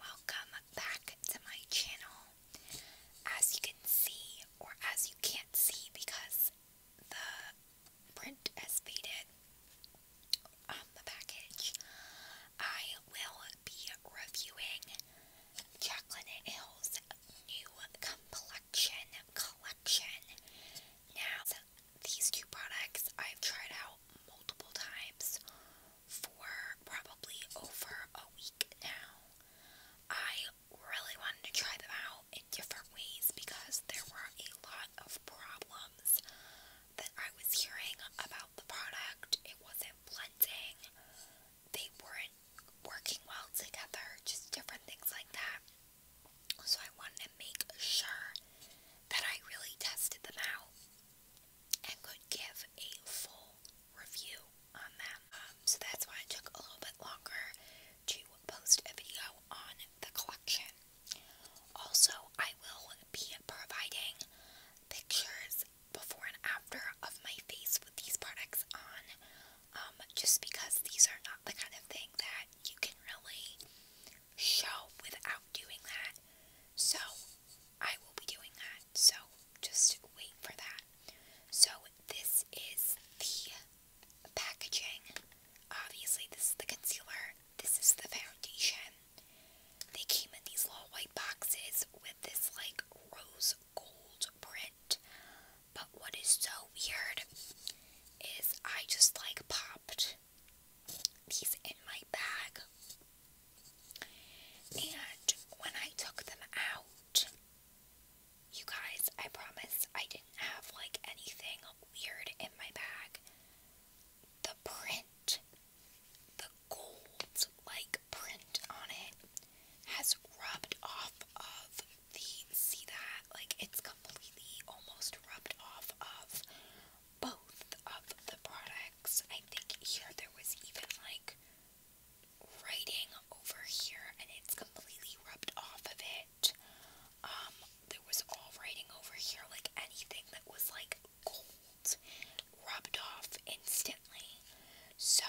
Welcome back to my channel. As you can see, or as you can't see because the print has faded on the package, I will be reviewing Jacqueline Hill's new complexion collection. Now, these two products I've tried out multiple times for probably over a week now. I really wanted to try them out in different ways because there were a lot of problems that I was hearing about the product. It wasn't blending, they weren't working well together, just different things like that. So I wanted to make sure that I really tested them out and could give a full review on them. Um, so that's why it took a little bit longer to post a video on the collection. Also, I will be providing pictures before and after of my face with these products on, um, just because these are not the kind of thing that you can really show without doing that. So, I will be doing that, so just wait for that. So, this is the packaging. Obviously, this is the concealer, this is the foundation. They came in these little white boxes with this like rose gold print. But what is so weird is I just like popped He's in my bag. And when I took them out, you guys, I promise I didn't have like anything weird in my bag. The print, the gold like print on it, has rubbed off of the see that? Like it's completely almost rubbed off of both of the products. I think here there was even like writing over here and it's completely rubbed off of it. Um, there was all writing over here, like anything that was like gold rubbed off instantly. So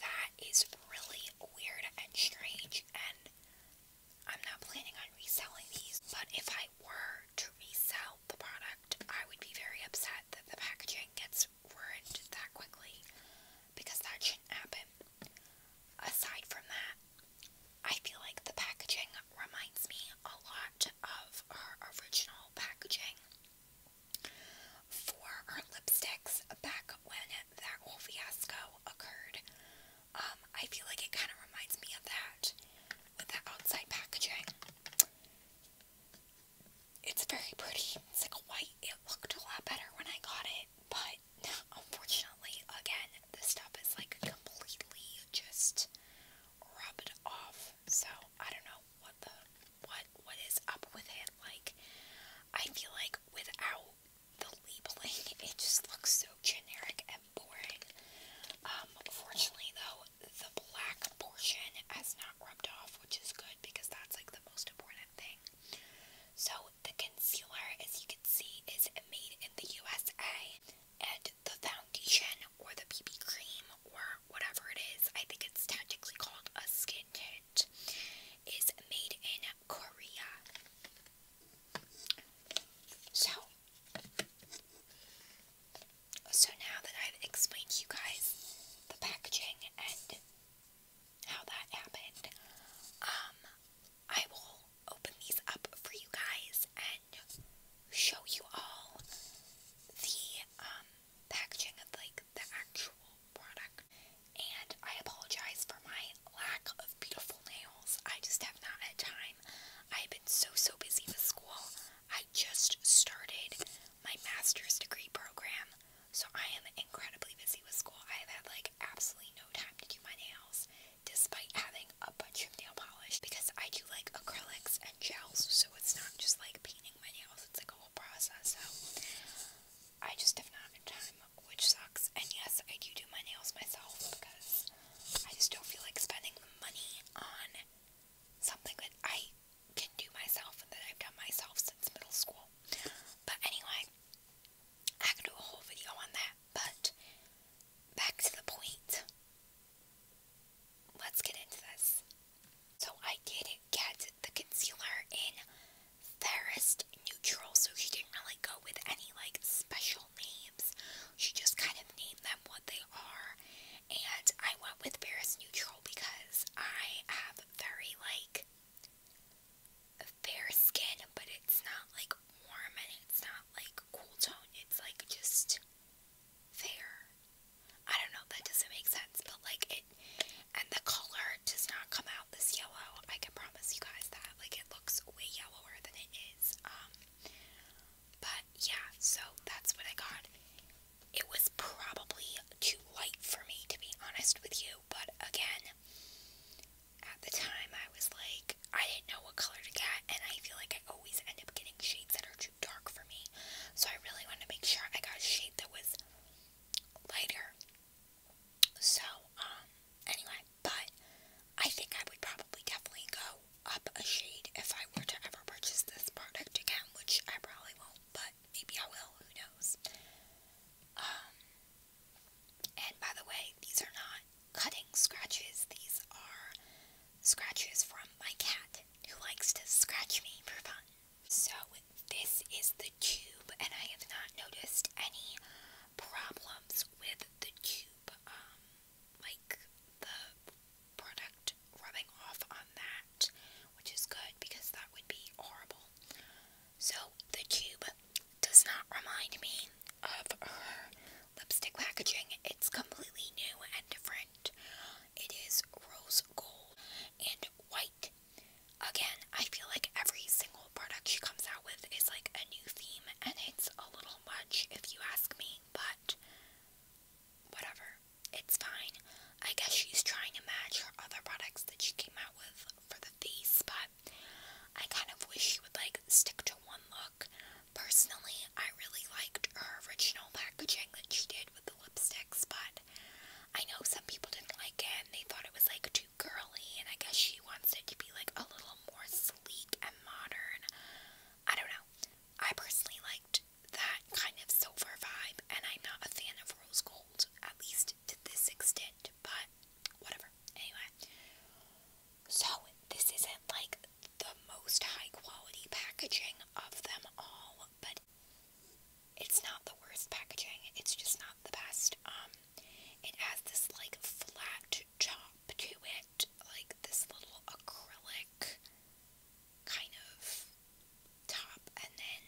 that is really weird and strange and I'm not planning on reselling these, but if I were to resell the product, I would be very upset that the packaging gets ruined that quickly because that shouldn't happen. Aside from that, I feel like the packaging reminds me a lot of her original packaging for her lipsticks back when that whole fiasco occurred. Um, I feel like it kind of reminds me of that with the outside packaging. It's very pretty. It's like a white. It looked a lot better when I got it, but unfortunately, again, this stuff is like completely just rubbed off. So I don't know what the what what is up with it. Like I feel like without the labeling, it just looks so generic and boring. Um, fortunately, though, the black portion has not rubbed off, which is good because that's like the most important thing. So, the concealer, as you can see, is made in the USA, and the foundation or the BB cream or whatever it is, I think it's technically called a skin tint, is made in Korea. So, so now that I've explained to you guys the packaging and how that happened, um, I will open these up for you guys and show you all the um packaging of like the actual product. And I apologize for my lack of beautiful nails. I just have not had time. I so, so busy with school. I just started my master's degree program, so I am incredibly busy with school. I have had like absolutely no time to do my nails, despite having a bunch of nail polish because I do like acrylics and gels, so it's not just like painting my nails, it's like a whole process. So I just have not had time, which sucks. And yes, I do do my nails myself because I just don't feel like spending the money on something that I can do myself and that I've done myself since middle school. But anyway, I could do a whole video on that, but back to the point. Let's get into this. So I did get the concealer in Fairest Neutral, so she didn't really go with any like special names. She just kind of named them what they are. And I went with Paris Neutral because I have very like fair skin, but it's not like warm and it's not like cool tone. It's like just fair. I don't know, that doesn't make sense, but like it and the color does not come out this yellow. I can promise you guys that. Like it looks way yellower than it is. Um but yeah, so that's what I got. It was probably too light for me, to be honest with you, but again, at the time I was like, I didn't know what color to get, and I feel like I always end up getting shades that are too dark for me. So I really wanted to make sure I got a shade that was lighter. So, um, anyway, but I think I would probably definitely go up a shade if I were to ever purchase this product again, which I probably won't, but maybe I will, who knows. Um, and by the way, these are not cutting scratches, these are scratches from my cat who likes to scratch me for fun. So this is the tube and I have not noticed any problems with the tube. Um, like the product rubbing off on that, which is good because that would be horrible. So the tube does not remind me of lipstick packaging. It's completely new and different. It is rose gold and white. Again, I feel like every single product she comes out with is like a new theme and it's a little much if you ask me, but whatever. It's fine. I guess she's trying to match her other products that she came out with for the face, but I kind of wish she would like stick to one look. Personally, I really liked her original packaging that she did with the lipsticks, but I know some people didn't like it and they thought it was like too girly, and I guess she wants it to be like a little more sleek and modern. I don't know. I personally liked that kind of silver vibe, and I'm not a fan of rose gold, at least to this extent, but whatever. Anyway, so this isn't like the most high quality packaging of them all, but it's not the worst packaging, it's just not the best. Um, it has this like flat top to it, like this little acrylic kind of top, and then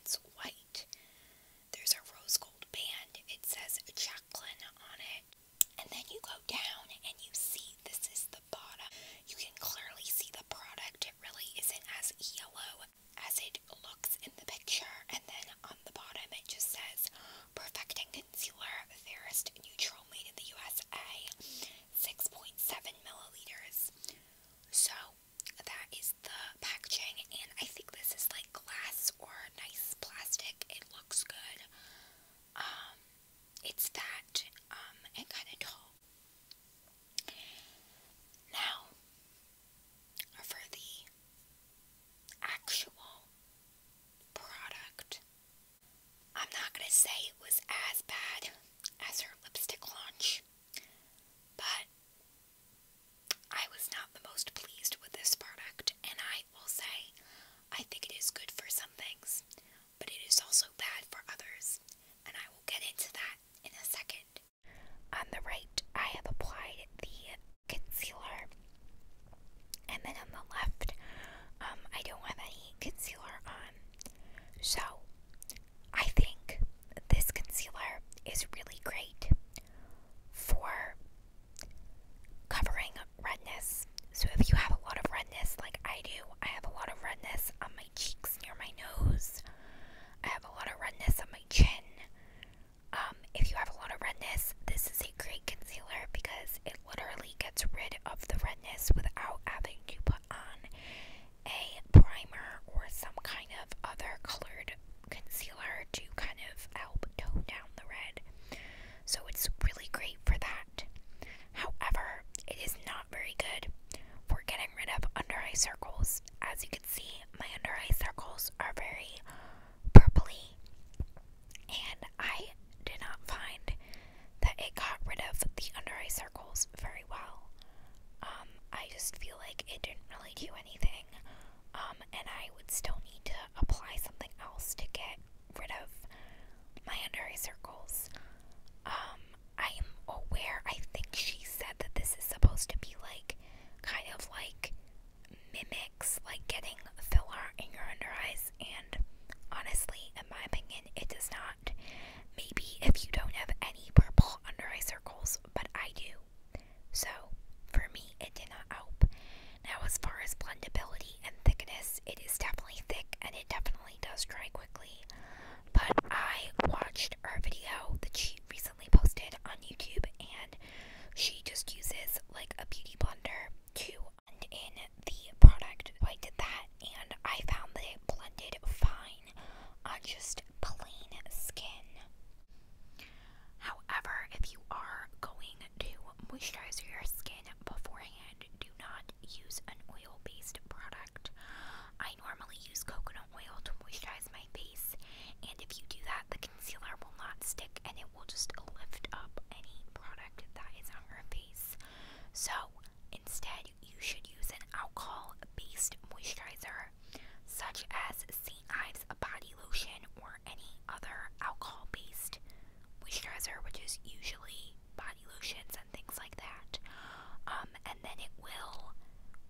it's white. There's a rose gold band, it says Jacqueline on it. And then you go down and you see this is the bottom. You can clearly see the product. It really isn't as yellow as it looks in the picture. And then on the bottom it just says Perfecting Concealer Fairest Neutral made in the USA, 6.7 milliliters. So, that is the packaging, and I think this is like glass or nice plastic. It looks good. Um, it's that, and um, kind of tall. Now, for the actual product. I'm not going to say it was as bad as her lipstick launch, but I was not the most pleased with this product, and I will say I think it is good for some things, but it is also bad for others, and I will get into that in a second. On the right, I have applied the concealer. And then on the left, um, I don't have any concealer on. So, I think this concealer is really great for covering redness. So, if you have a lot of redness, like I do, I have a lot of redness on my cheeks near my nose, I have a lot of redness on my chin. Um, if you have a lot of redness, this is a great concealer because it literally gets rid of the redness without having to put on a primer or some kind of other colored concealer to kind of help tone down the red. So it's really great for that. However, it is not very good for getting rid of under eye circles. As you can see, my under eye circles are very purpley, and I did not find that it got rid of the under eye circles very well. Um, I just feel like it didn't really do anything, um, and I would still need to apply something else to get rid of my under eye circles. Um, I am aware, I think she said that this is supposed to be like kind of like mimics like getting filler in your under eyes, and honestly, in my opinion, it does not. Maybe if you don't have any purple under eye circles, but I do. So, for me, it did not help. Now, as far as blendability and thickness, it is definitely thick and it definitely does dry quickly. But I watched her video that she recently posted on YouTube, and she just uses like a beauty blender to blend in the product. I did that and I found that it blended fine on just plain skin. However, if you are going to moisturize your skin beforehand, do not use an oil based product. I normally use coconut oil to moisturize my face. And if you do that, the concealer will not stick and it will just lift up any product that is on your face. So instead, you should use an alcohol based moisturizer, such as St. Ives Body Lotion or any other alcohol based moisturizer, which is usually body lotions and things like that. Um, and then it will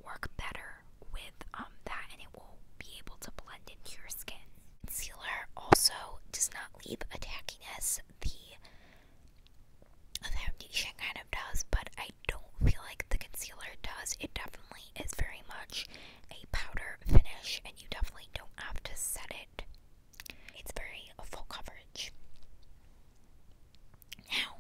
work better with um, that and it will be able to blend into your skin. Concealer also does not leave a tackiness. The foundation kind of does, but I don't feel like the concealer does. It definitely is very much a powder finish, and you definitely don't have to set it. It's very full coverage. Now,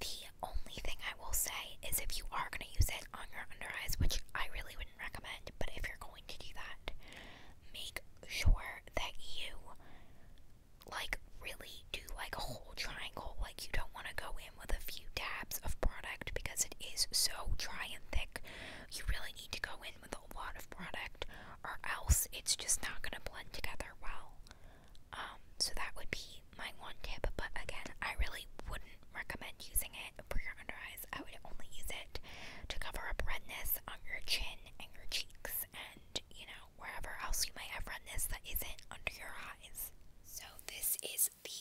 the only thing I will say is if you are going to use it on your under eyes, which I really wouldn't recommend, but if you're going to do that, make sure that you like really do like a whole triangle. Like you don't want to go in with a few dabs of product because it is so dry and thick. You really need to go in with a lot of product or else it's just not going to blend together well. Um, so that would be my one tip, but again, I really wouldn't recommend using it for your under eyes. I would only use it to cover up redness on your chin and your cheeks and, you know, wherever else you might have redness that isn't under your eyes. So, this is the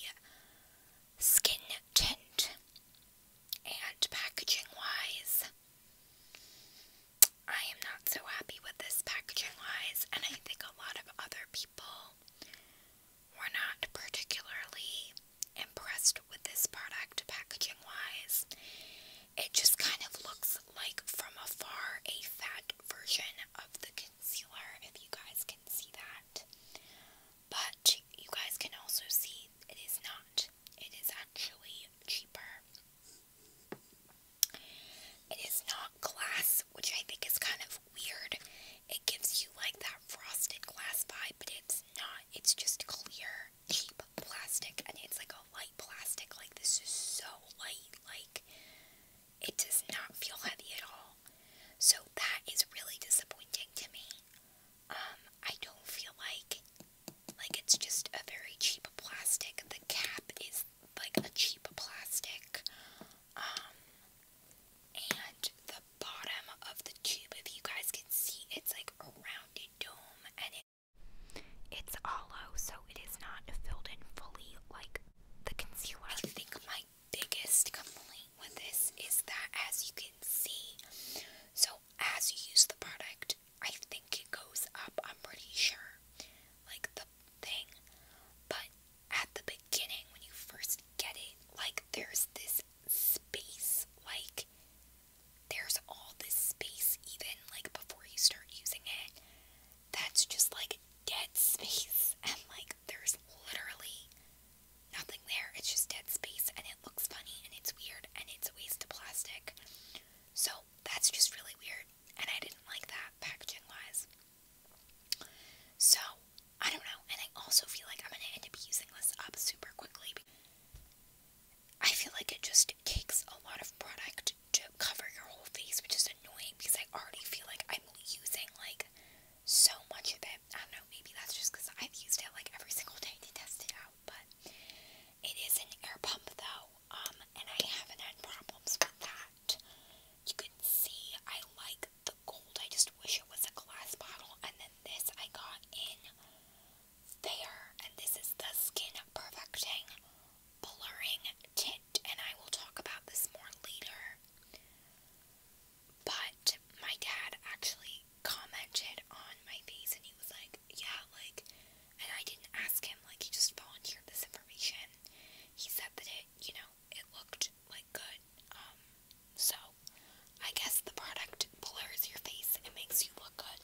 skin tint. And packaging wise, I am not so happy with this packaging wise, and I think a lot of other people we're not particularly impressed with this product packaging wise. It just kind of looks like from afar a fat version of the concealer, if you guys can see that. But you guys can also see it is not. It is actually cheaper. It is not glass which I think is kind of weird. It gives you like that frosted glass vibe, but it's not. It's just clear, cheap plastic, and it's like a light plastic. Like, this is so light. Like, it does not feel heavy at all. So, that is really disappointing to me. Um, I don't feel like, like, it's just a very cheap plastic. The cap is like a cheap plastic. Um, and the bottom of the tube, if you guys can see, it's like a rounded dome and it it's hollow, so it is not filled in fully like the concealer. I think my biggest complaint with this is that, as you can see, so as you use the product, I think it goes up. I'm pretty sure, like the thing, but at the beginning, when you first get it, like there's this space, like there's all this space, even like before you start using it, that's just like dead space, and like there's literally nothing there, it's just dead space, and it looks funny, and it's weird, and it's a waste of plastic. So that's just really weird, and I didn't like that packaging wise. So, I don't know. And I also feel like I'm going to end up using this up super quickly. I feel like it just takes a lot of product to cover your whole face, which is annoying because I already feel like I'm using like so much of it. I don't know, maybe that's just because I've used it like every single day to test it out, but it is an air pump though, um, and I haven't had problems with that. You can see I like the gold. I just wish it was a glass bottle. And then this I got in there. And this is the Skin Perfecting Blurring Tint. And I will talk about this more later. But my dad actually commented on my face and he was like, yeah, like, and I didn't ask him, like, he just volunteered this information. He said that it, you know, it looked like good. Um, so I guess the product blurs your face and makes you look good.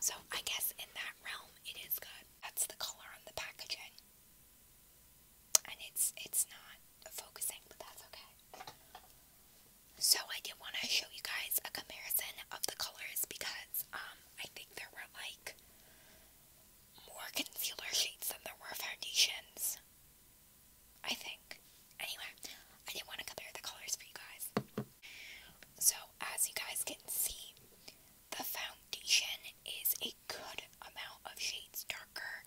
So I guess in that realm it is good. That's the color on the packaging. And it's it's not focusing, but that's okay. So I did want to show you guys a comparison of the colors because um, I think there were like more concealer shades than there were foundations. I think. Anyway, I didn't want to compare the colors for you guys. So, as you guys can see, the foundation is a good amount of shades darker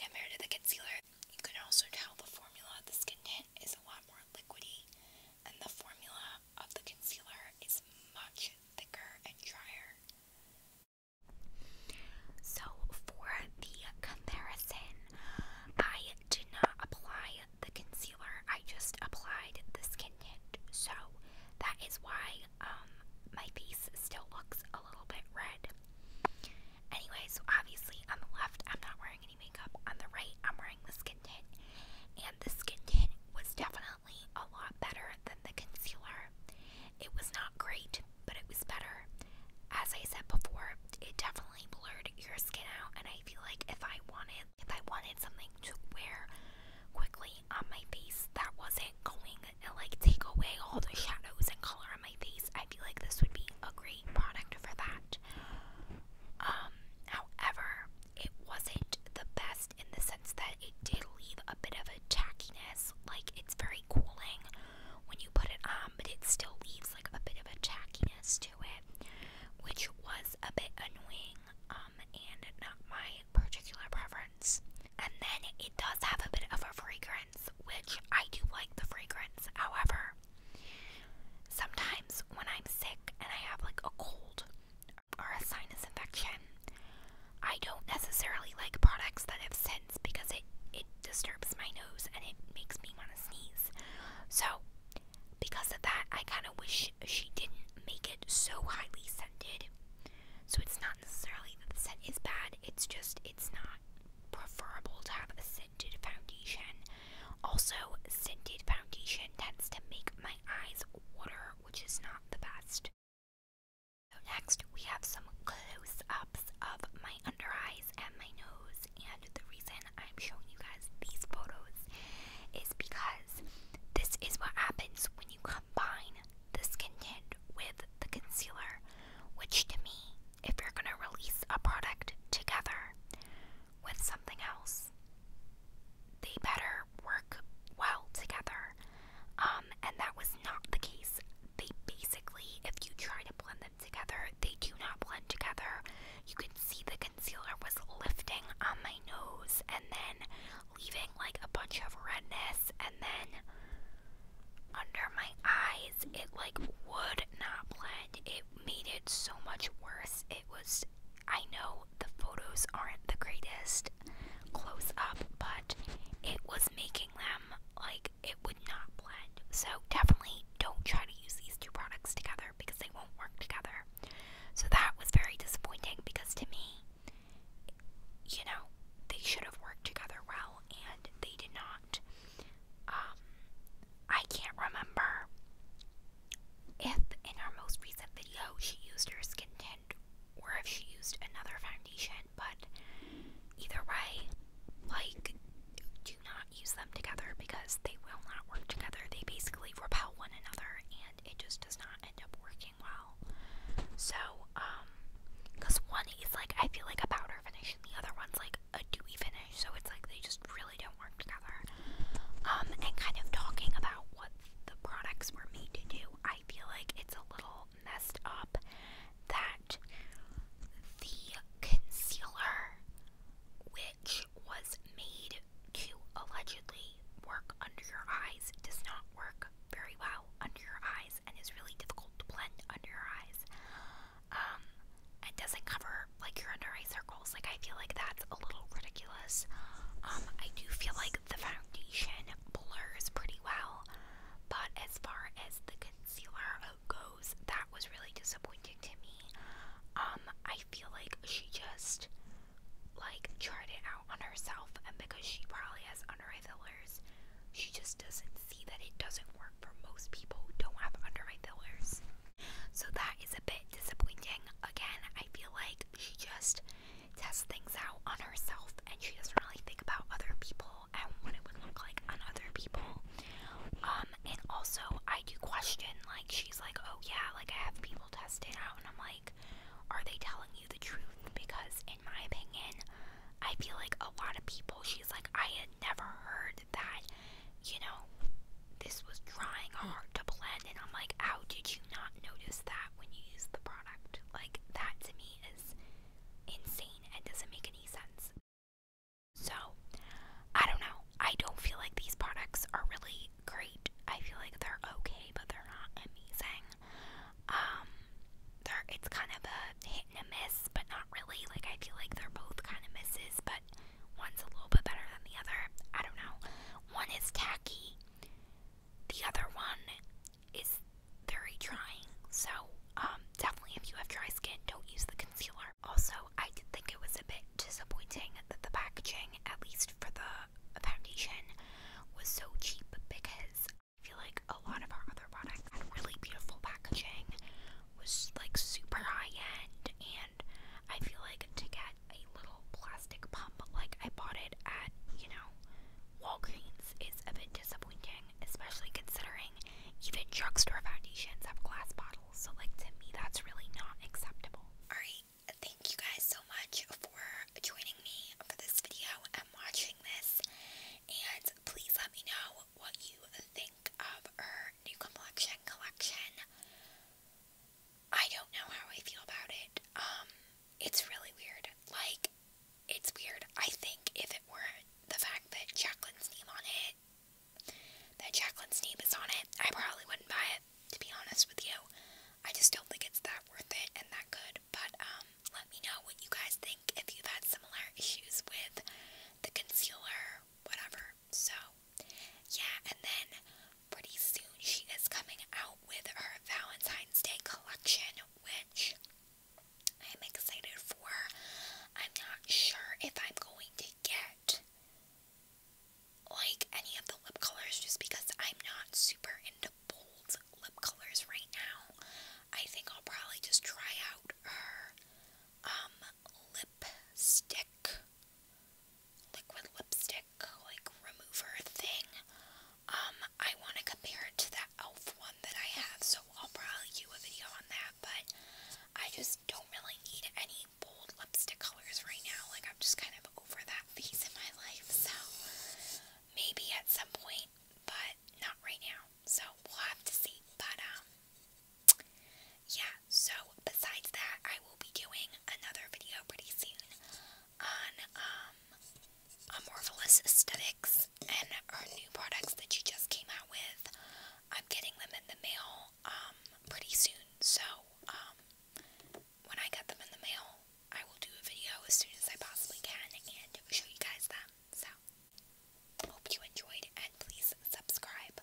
compared to the concealer. You can also tell the formula of the skin tint is a lot more liquidy, and the formula of the concealer is much thicker and drier. So, for the comparison, I did not apply the concealer, I just applied the skin tint. So, that is why um, my face still looks a little bit red. Anyway, so obviously on the left, I'm not wearing any makeup. On the right, I'm wearing the skin tint. And the skin tint was definitely a lot better than the concealer. It was not great, but it was better. As I said before, it definitely blurred your skin out and I feel like if I wanted if I wanted something to wear quickly on my face that wasn't going to like take away all the shadows and color on my face, I feel like this would be a great product for that. Um, however, it wasn't the best in the sense that it did leave a bit of a tackiness. Like it's very cooling when you put it on, but it still leaves like a bit of a tackiness to it, which was a bit annoying um, and not my particular preference. And then it does have a bit of a fragrance, which I do like the fragrance. However, sometimes when I'm sick and I have like a cold, or a sinus infection. I don't necessarily like products that have scents because it, it disturbs my nose and it makes me want to sneeze. So, because of that, I kind of wish she didn't make it so highly scented. So, it's not necessarily that the scent is bad, it's just it's not preferable to have a scented foundation. Also, scented foundation tends to make my eyes water, which is not the best. So next we have some close-ups of my under eyes and my nose and the reason I'm showing you guys these photos is because this is what happens when you combine the skin tint with the concealer which to me if you're going to release a product together with something else they better work well together. Um, and that was not the case. They basically, if you try to blend them together, they do not blend together. You can see the concealer was lifting on my nose and then leaving like a bunch of redness, and then under my eyes, it like would not blend. It made it so much worse. It was, I know the photos aren't the greatest close up, but it was making them like it would not blend. So definitely don't try to use these two products together because they won't work together. So that was very disappointing because to me, you know, they should have worked together well and they did not. Um, I can't remember if in her most recent video she used her skin tint or if she used another foundation, but either way, like, do not use them together because they will not work together. They basically repel one another and it just does not end up working well. So, um, because one is like, I feel like a powder finish and the other one's like a dewy finish, so it's like they just really don't work together. Um, and kind of talking about what the products were made to do. I feel like it's a little messed up that the concealer, which was made to allegedly work under your eyes, does not work very well under your eyes and is really difficult to blend under your eyes. Um, it doesn't cover like your under eyes are like, I feel like that's a little ridiculous. Um, I do feel like the foundation blurs pretty well, but as far as the concealer goes, that was really disappointing to me. Um, I feel like she just like tried it out on herself, and because she probably has under eye fillers, she just doesn't see that it doesn't work for most people who don't have under eye fillers. So that is a bit disappointing. Again, I feel like she just tests things out on herself and she doesn't really think about other people and what it would look like on other people. Um, and also I do question, like, she's like, oh yeah, like I have people testing out and I'm like, are they telling you the truth? Because in my opinion, I feel like a lot of people, she's like, I had never heard that, you know, this was trying hard to blend, and I'm like, how did you not notice that when you used the product? Like, that to me is insane and doesn't make any sense. So, I don't know. I don't feel like these products are really great. I feel like they're okay, but they're not amazing. Um, they're, it's kind of a hit and a miss, but not really. Like, I feel like they're both kind of misses, but One's a little bit better than the other. I don't know. One is tacky. The other one is very drying. So, um, definitely if you have dry skin, don't use the concealer. Also, I did think it was a bit disappointing that the packaging, at least for the foundation, was so cheap because I feel like a lot of our other products had really beautiful packaging, was like super high end, and. I feel like to get a little plastic pump like I bought it at, you know, Walgreens is a bit disappointing, especially considering even drugstore foundations have glass bottles. So, like, to me, that's really not acceptable. Alright, thank you guys so much for joining me for this video and watching this. And please let me know what you think of her new collection, collection. I don't know how I feel about it. Um, it's really weird. Like, it's weird. I think if it weren't the fact that Jacqueline's name on it, that Jacqueline's name is on it, I probably wouldn't buy it, to be honest with you. I just don't think it's that worth it and that good. But, um, let me know what you guys think if you've had similar issues with the concealer, whatever. So, yeah, and then pretty soon she is coming out with her Valentine's Day collection, which I'm excited for. I'm not sure if I'm going to get like any of the lip colors just because I'm not super into bold lip colors right now. I think I'll probably just try out her um, lip stick liquid lipstick like remover thing. Um, I want to compare it to the e.l.f. one that I have, so I'll probably do a video on that, but I just don't really need any bold lipstick colors right now. Like, I'm just kind of over that phase in my life, so maybe at some point, but not right now. So we'll have to see. But, um, yeah, so, besides that, I will be doing another video pretty soon on um, Aesthetics and our new products that she just came out with. I'm getting them in the mail um, pretty soon, so um, when I get them in the mail, I will do a video as soon as I possibly can and show you guys them. So, hope you enjoyed and please subscribe.